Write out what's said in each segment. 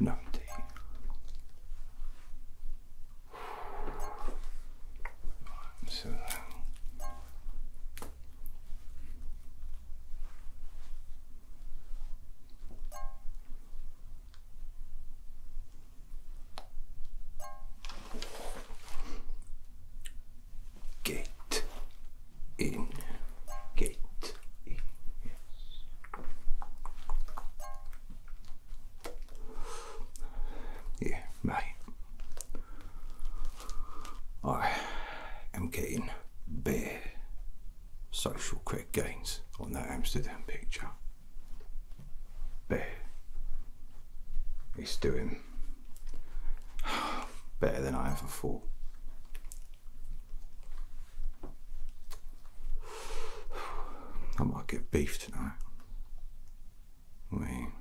ninety. so Get in, get in, yeah, mate. I am getting bare social credit gains on that Amsterdam picture. It's doing better than I ever thought. I might get beef tonight. I mean,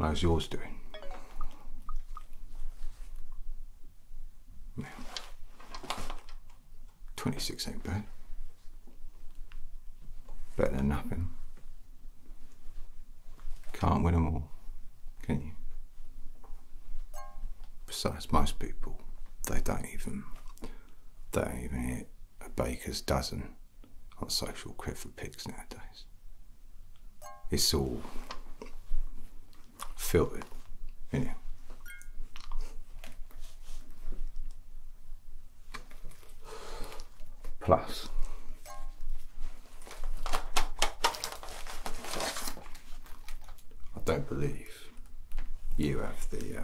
how's yours doing? Yeah. 26 ain't bad. Better than nothing. Can't win them all, can you? Besides, most people, they don't even, they do even hit a baker's dozen on social credit for pigs nowadays. It's all filtered, is plus. I don't believe you have the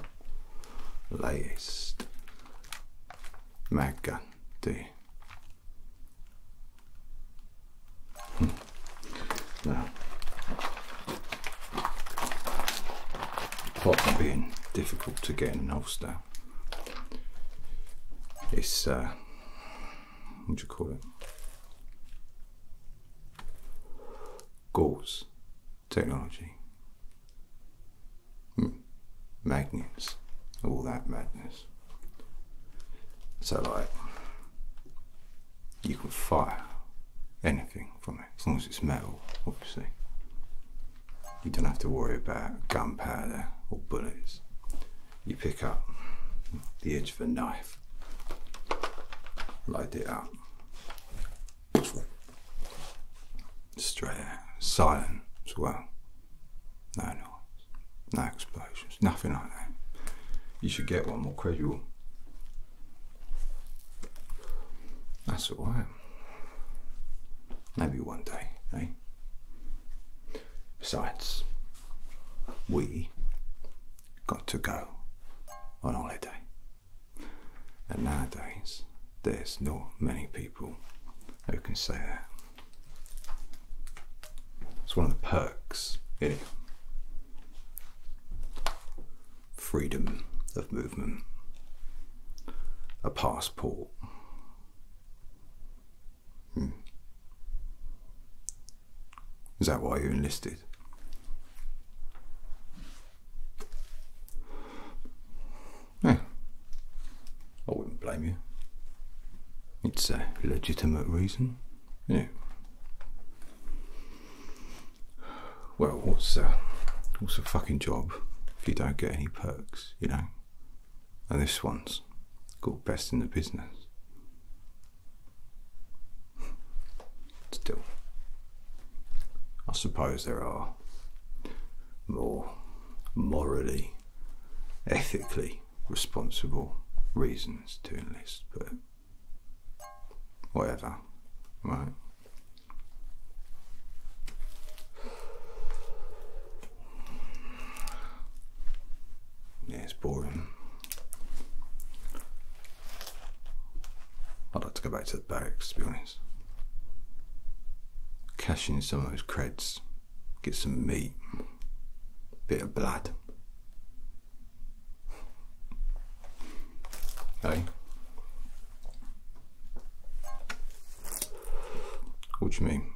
uh, latest mag gun, do you? Hmm. No apart from being difficult to get in an holster, it's uh, what do you call it? Gauze technology, hmm. magnets, all that madness. So, like, you can fire anything from as long as it's metal, obviously. You don't have to worry about gunpowder or bullets. You pick up the edge of a knife, load it up, straight out, silent as well. No knives, no explosions, nothing like that. You should get one more casual that's all right. Maybe one day, eh? Besides, we got to go on holiday. And nowadays, there's not many people who can say that. It's one of the perks, is freedom of movement, a passport. Hmm. Is that why you enlisted? Yeah. I wouldn't blame you. It's a legitimate reason. Yeah well, uh, what's a, fucking job if you don't get any perks, you know? And this one's got Best in the Business. Still, I suppose there are more morally, ethically responsible reasons to enlist, but whatever, right? Yeah, it's boring. I'd like to go back to the barracks, to be honest. Cash in some of those creds, get some meat, bit of blood. Hey? What do you mean?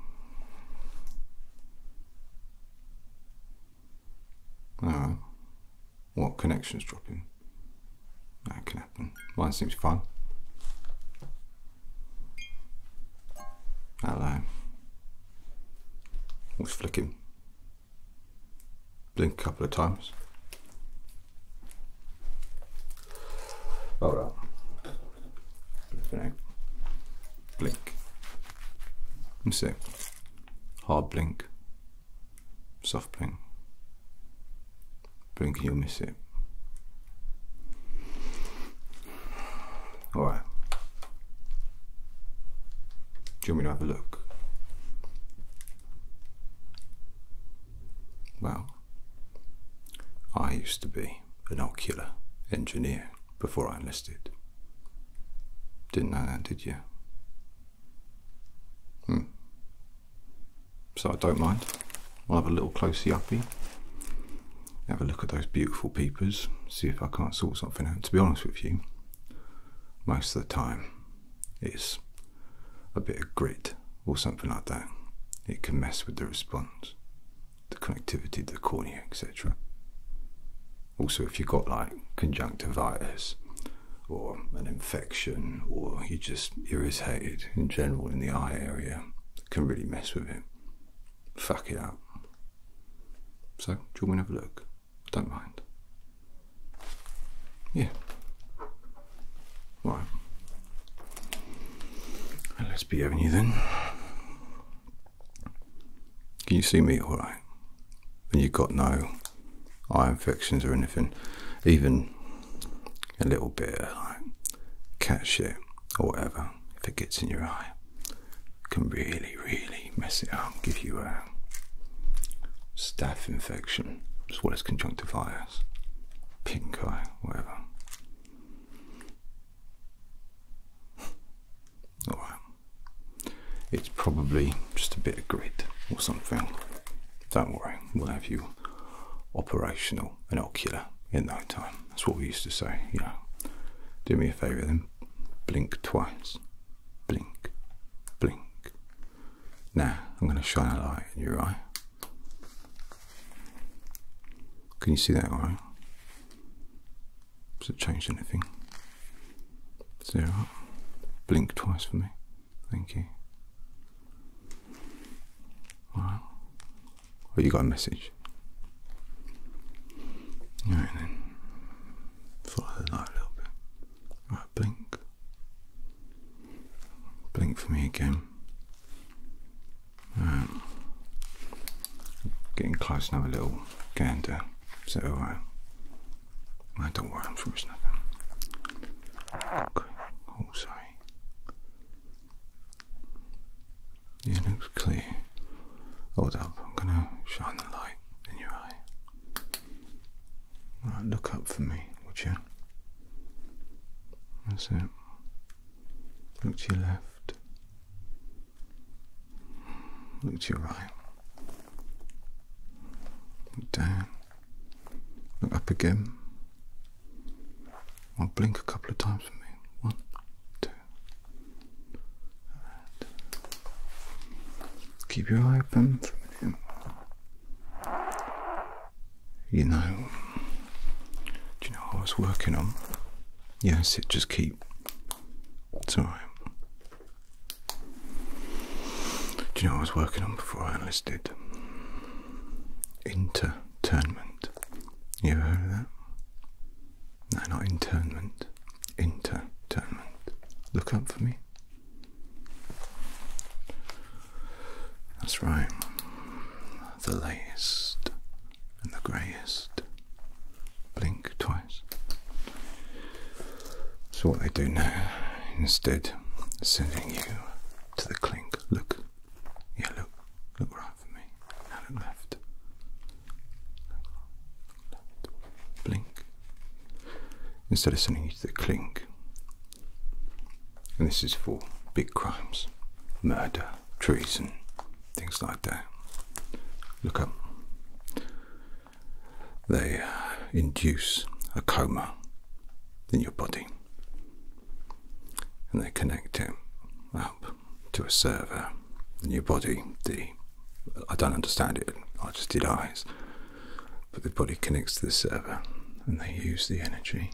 Uh, what connection's dropping? That can happen. Mine seems fine. Hello. What's flicking? Blink a couple of times. Bara disconnect. Blink. Mistake. Hard blink. Soft blink. Blink and you'll miss it. Alright. Do you want me to have a look? Wow. I used to be an ocular engineer before I enlisted. Didn't know that, did you? Hmm. So I don't mind. I'll have a little closey uppy. Have a look at those beautiful peepers. See if I can't sort something out. To be honest with you, most of the time it's a bit of grit or something like that, it can mess with the response, the connectivity, the cornea, etc. Also, if you've got like conjunctivitis or an infection or you're just irritated in general in the eye area, it can really mess with it. Fuck it up. So, do you want to have a look? don't mind. Yeah. Right. Lesby Avenue then. Can you see me alright? And you've got no eye infections or anything. Even a little bit of like cat shit or whatever, if it gets in your eye, can really, really mess it up, give you a staph infection, as well as conjunctivitis. Pink eye, whatever. Alright. It's probably just a bit of grit or something. Don't worry, we'll have you operational and ocular in no time. That's what we used to say, you know. Do me a favour then. Blink twice. Blink. Blink. Now, I'm going to shine a light in your eye. Can you see that all right? Has it changed anything? Is it Blink twice for me. Thank you. Alright. Oh, you got a message. Alright Follow the light a little bit. Alright, blink. Blink for me again. Getting close, another little gander. so that don't worry, I'm sure it's nothing. Okay. Oh, sorry. Yeah, it looks clear. Hold up, I'm gonna shine the light in your eye. look up for me, would you? That's it. Look to your left. Look to your right. Look down. Look up again. i blink a couple of times for me. One, two. Keep your eye open for a minute you know, do you know I was working on? Yes, it just keep. It's alright. Do you know what I was working on before I enlisted? Interturnment. You ever heard of that? No, not internment. Interturnment. Look up for me. That's right. The latest and the greyest. Blink twice. So, what they do now, instead of sending you to the clink, look, yeah, look, look right for me, now look left. Look left. Blink. Instead of sending you to the clink, and this is for big crimes, murder, treason, things like that. Look up. They uh, induce a coma in your body and they connect it up to a server in your body. The I don't understand it, I just did eyes. But the body connects to the server and they use the energy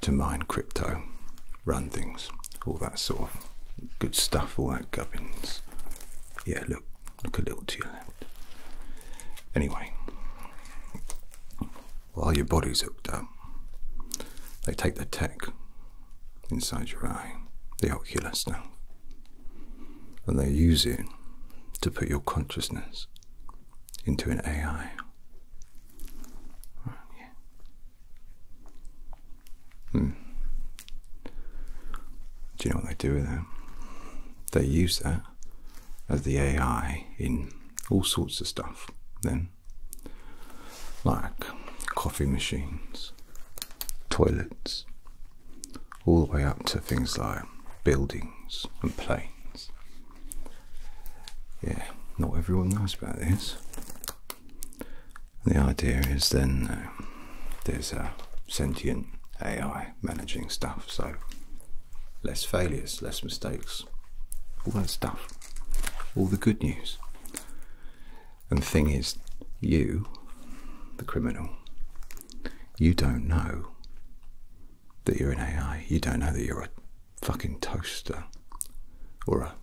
to mine crypto, run things, all that sort of good stuff, all that gubbins. Yeah, look, look a little to your left. Anyway, while your body's hooked up, they take the tech inside your eye, the ocular stuff, and they use it to put your consciousness into an AI. Hmm. Do you know what they do with that? They use that as the AI in all sorts of stuff, then, like coffee machines, toilets, all the way up to things like buildings and planes yeah, not everyone knows about this. The idea is then uh, there's a sentient AI managing stuff, so less failures, less mistakes, all that stuff, all the good news. And the thing is, you, the criminal, you don't know that you're in AI. You don't know that you're a fucking toaster or a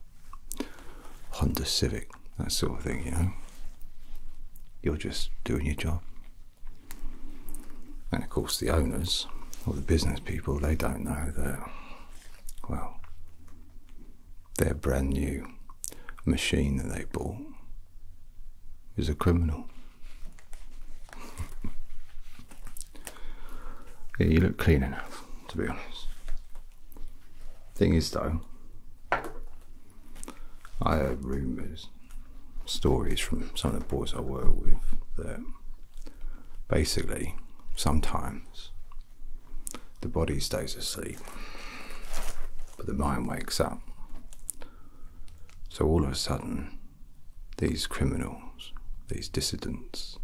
Honda Civic, that sort of thing, you know. You're just doing your job. And of course, the owners or the business people, they don't know that, well, their brand new machine that they bought is a criminal yeah, you look clean enough, to be honest. Thing is, though, I heard rumours, stories from some of the boys I work with that basically sometimes the body stays asleep, but the mind wakes up. So all of a sudden, these criminals, these dissidents,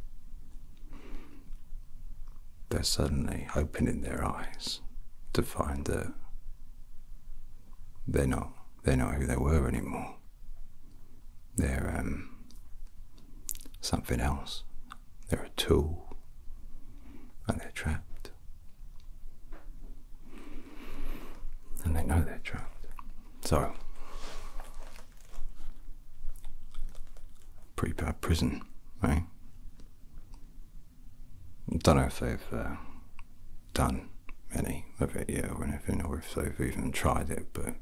they're suddenly opening their eyes to find that they're not they're not who they were anymore. They're um, something else. They're a tool, and they're trapped and they know they're trapped. So, pretty bad prison, right? Don't know if they've uh, done any of it yet or if they've even tried it, but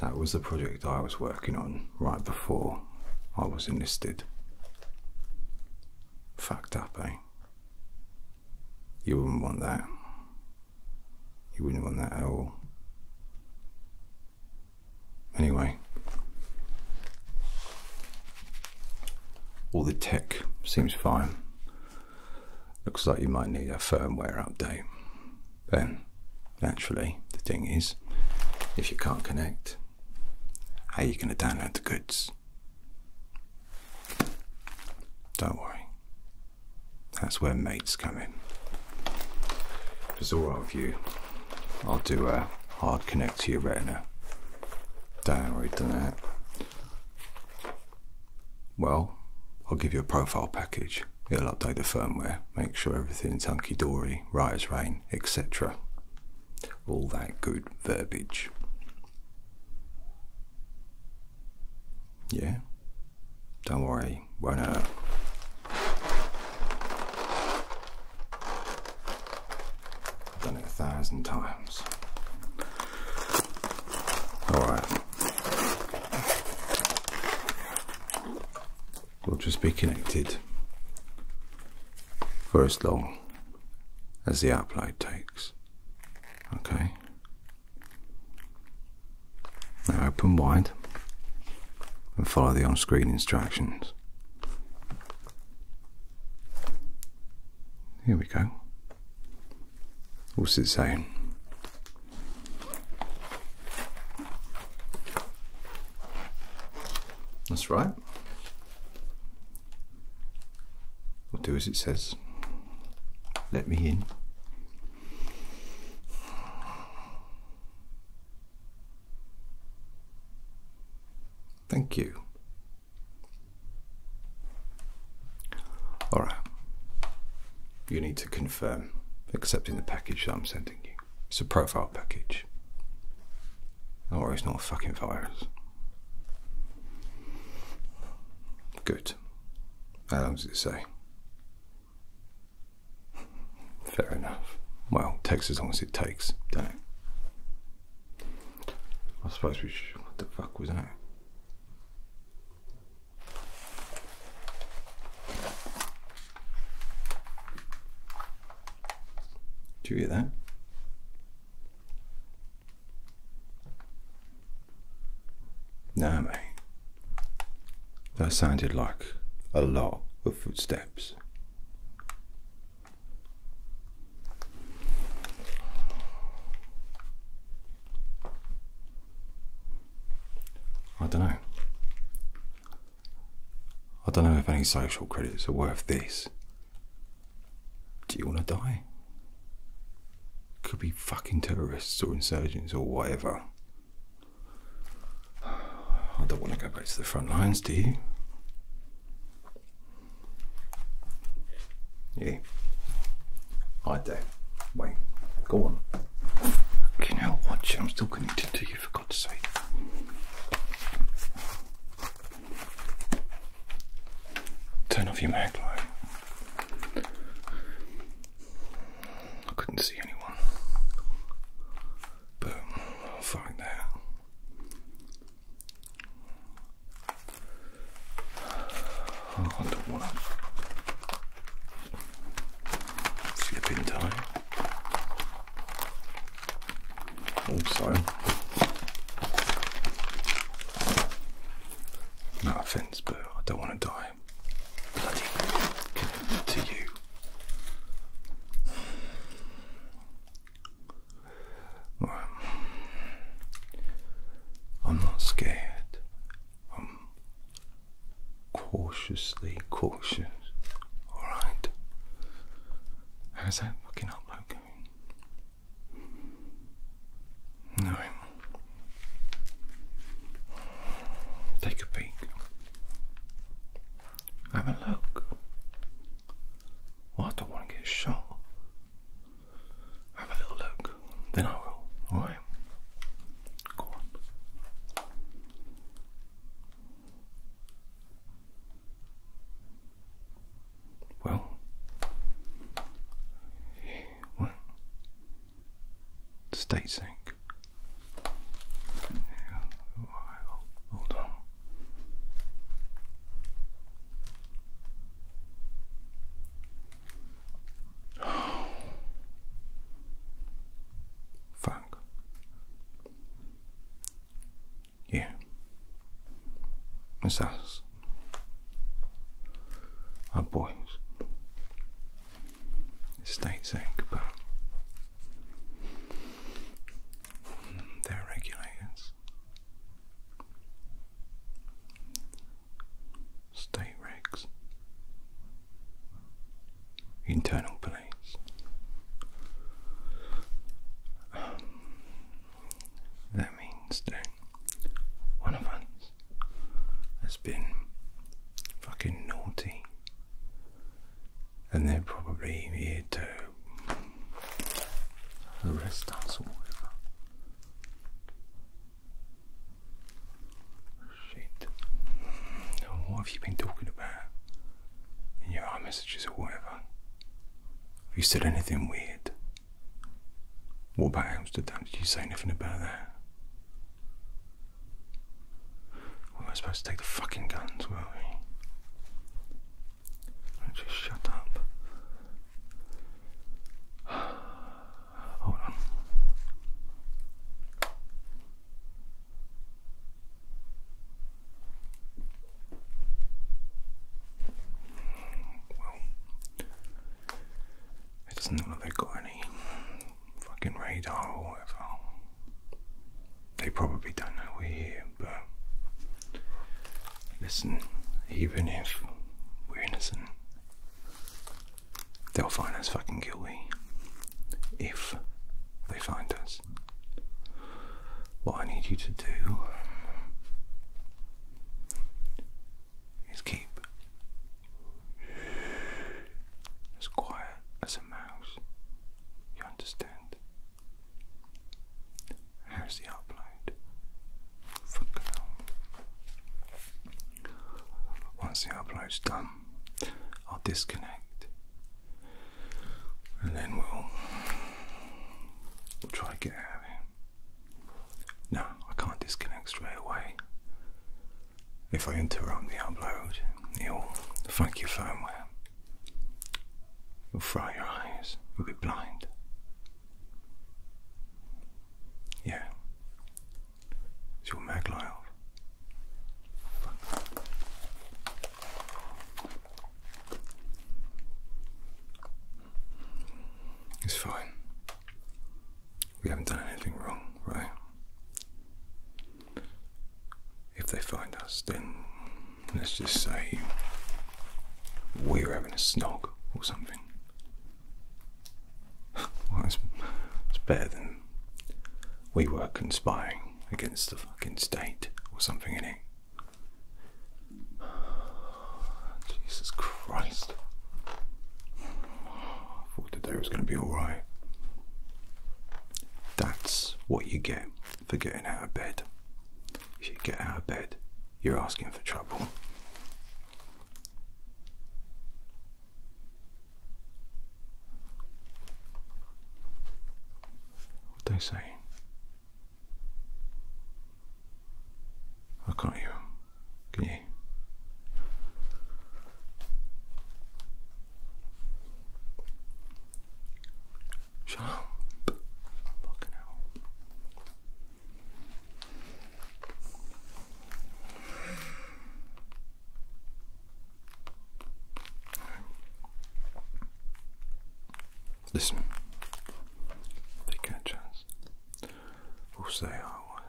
that was the project I was working on right before I was enlisted. Fucked up, eh? You wouldn't want that. You wouldn't want that at all. Anyway, all the tech seems fine. Looks like you might need a firmware update. Then, naturally, the thing is, if you can't connect, how are you going to download the goods? Don't worry, that's where mates come in. If it's alright with you, I'll do a hard connect to your retina. Don't worry, done that. Well, I'll give you a profile package. It'll update the firmware, make sure everything's hunky dory, right as rain, etc. All that good verbiage. Yeah? Don't worry, won't hurt. I've done it a thousand times. Alright. We'll just be connected for as long as the upload takes. Okay? Now open wide and follow the on screen instructions. Here we go. What's it saying? That's right. We'll do as it says. Let me in. Thank you. Alright. You need to confirm accepting the package I'm sending you. It's a profile package. Don't worry, it's not a fucking virus. Good. How long does it say? Fair enough. Well, takes as long as it takes, don't it? I suppose we should. What the fuck was that? Do you hear that? No, mate. That sounded like a lot of footsteps. I don't know. I don't know if any social credits are worth this. Do you want to die? Could be fucking terrorists or insurgents or whatever. I don't want to go back to the front lines, do you? Yeah. I do. Wait, go on. Fucking hell, watch I'm still connected to you, for God's sake. Turn off your mag light. I couldn't see anyone. Boom. I'll find that. Oh, don't slip in time. Also, nothing but I don't want to die. Bloody commitment to you. I'm not scared. I'm cautiously cautious. Alright. How's that fucking upload going? No. Take a peek. Have a look. I don't want to get shot. Have a little look. Then I will. Alright. Go on. Well, well, state sync. Hold on. Fuck. Yeah. It's us are boys. It states egg, but regulators. State regs, internal police. that means that one of us has been fucking naughty, and they're probably here to arrest us or whatever. Shit. what have you been talking about in your iMessages or whatever? Have you said anything weird? What about Amsterdam? Did you say anything about that? We were supposed to take the fucking guns, weren't we? Just shut up. Well, it doesn't look like they got any fucking radar or whatever. They probably don't know we're here, but listen, even if we're innocent, they'll find us fucking guilty. If they find us. What I need you to do is keep as quiet as a mouse. You understand? Here's the upload for now. Once the upload's done, I'll disconnect and then we'll, we'll try to get out no, I can't disconnect straight away. If I interrupt the upload, it'll fuck your firmware. it will fry your eyes, you'll be blind. Yeah. It's your mag It's fine. We haven't done anything wrong, right? If they find us, then let's just say we're having a snog or something. well, it's, it's better than we were conspiring against the fucking state or something in it. Jesus Christ. I thought the day was going to be alright. That's what you get for getting out of bed. If you get out of bed, you're asking for trouble. What they say? I can't can you? Shut up. Fucking hell. Listen, they get a say I was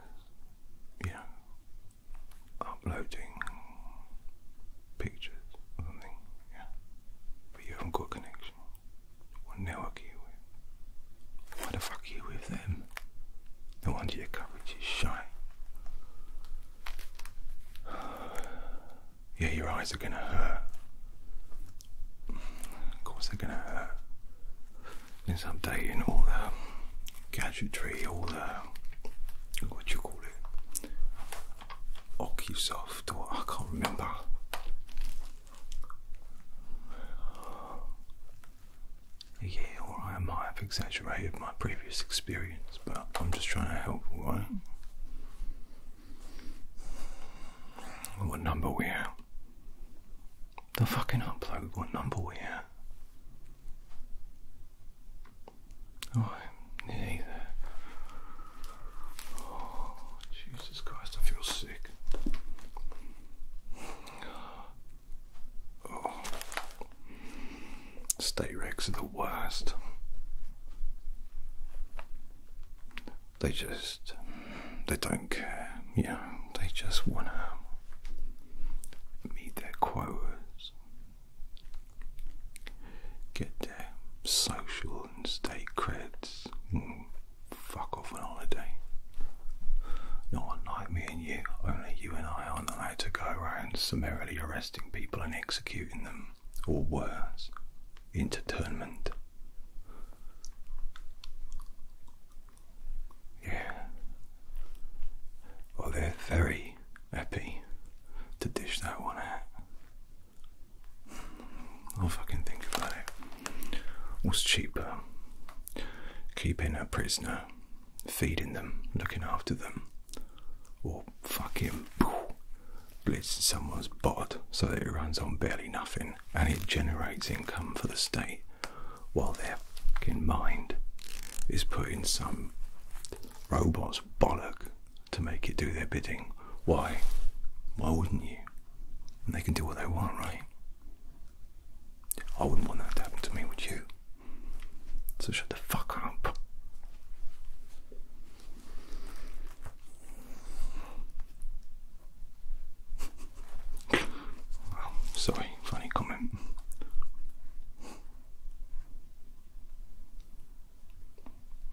yeah. uploading pictures something, yeah, you haven't got connection. What network are you with? Why the fuck are you with them? No wonder your coverage is shy. Yeah, your eyes are gonna hurt. Of course, they're gonna hurt. It's updating all the gadgetry, all the what do you call it? OcuSoft or I can't remember. Yeah, or I might have exaggerated my previous experience, but I'm just trying to help, right? What number we have? the fucking upload. What number we oh, at? Oh, Jesus Christ, I feel sick. Oh. State recs are the worst. They just, they don't care. Yeah, they just wanna meet their quotas, get their social and state credits, fuck off on holiday. Not like me and you, only you and I are allowed to go around summarily arresting people and executing them, or worse, internment. Yeah. Well, they're very happy to dish that one out. I'll fucking think about it. What's cheaper? Keeping a prisoner, feeding them, looking after them, or fucking blitzing someone's bod so that it runs on barely nothing and it generates income for the state while their fucking mind is put in some robot's bollock to make it do their bidding. Why? Why wouldn't you? And they can do what they want, right? I wouldn't want that to happen to me, would you? So shut the fuck up sorry, funny comment.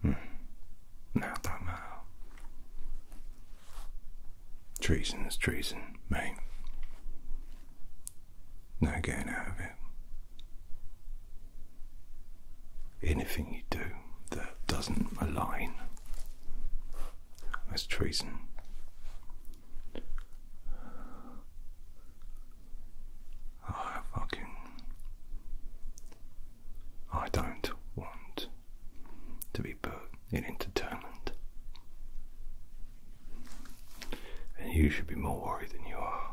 Mm. Now that matter. Treason is treason, mate. No getting out of it. Anything you do that doesn't align, is treason. I fucking. I don't want to be put in entertainment. And you should be more worried than you are.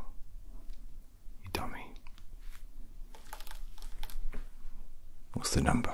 You dummy. What's the number?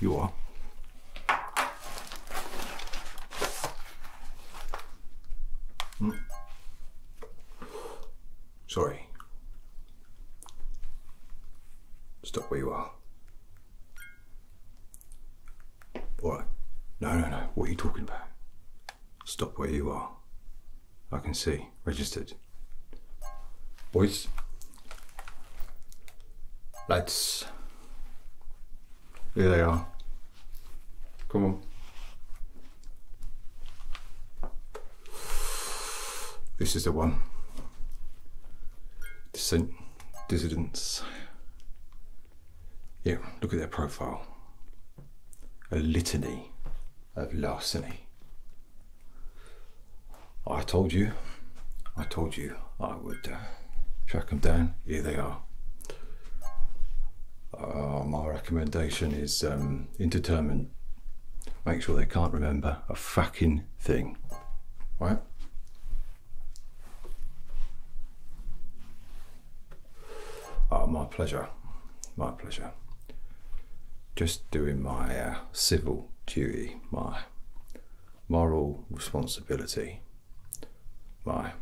You are. Mm. Sorry. Stop where you are. All right. No, no, no. What are you talking about? Stop where you are. I can see. Registered. Boys, Lights. Here they are. Come on. This is the one. Dissent, dissidents. Yeah, look at their profile. A litany of larceny. I told you, I told you I would. Uh, track them down. Here they are. Uh, my recommendation is um, indeterminate. Make sure they can't remember a fucking thing. Right? Oh, my pleasure. My pleasure. Just doing my uh, civil duty, my moral responsibility, my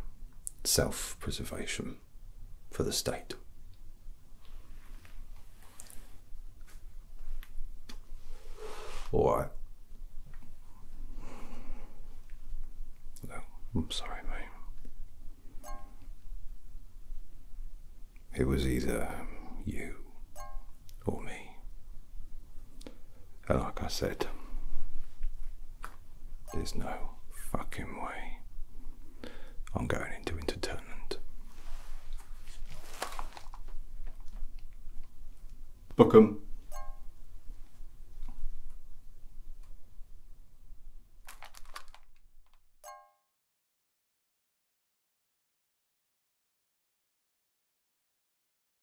self preservation for the state. Alright. No, I'm sorry, mate. It was either um, you or me. And like I said, there's no fucking way I'm going into entertainment. Book 'em.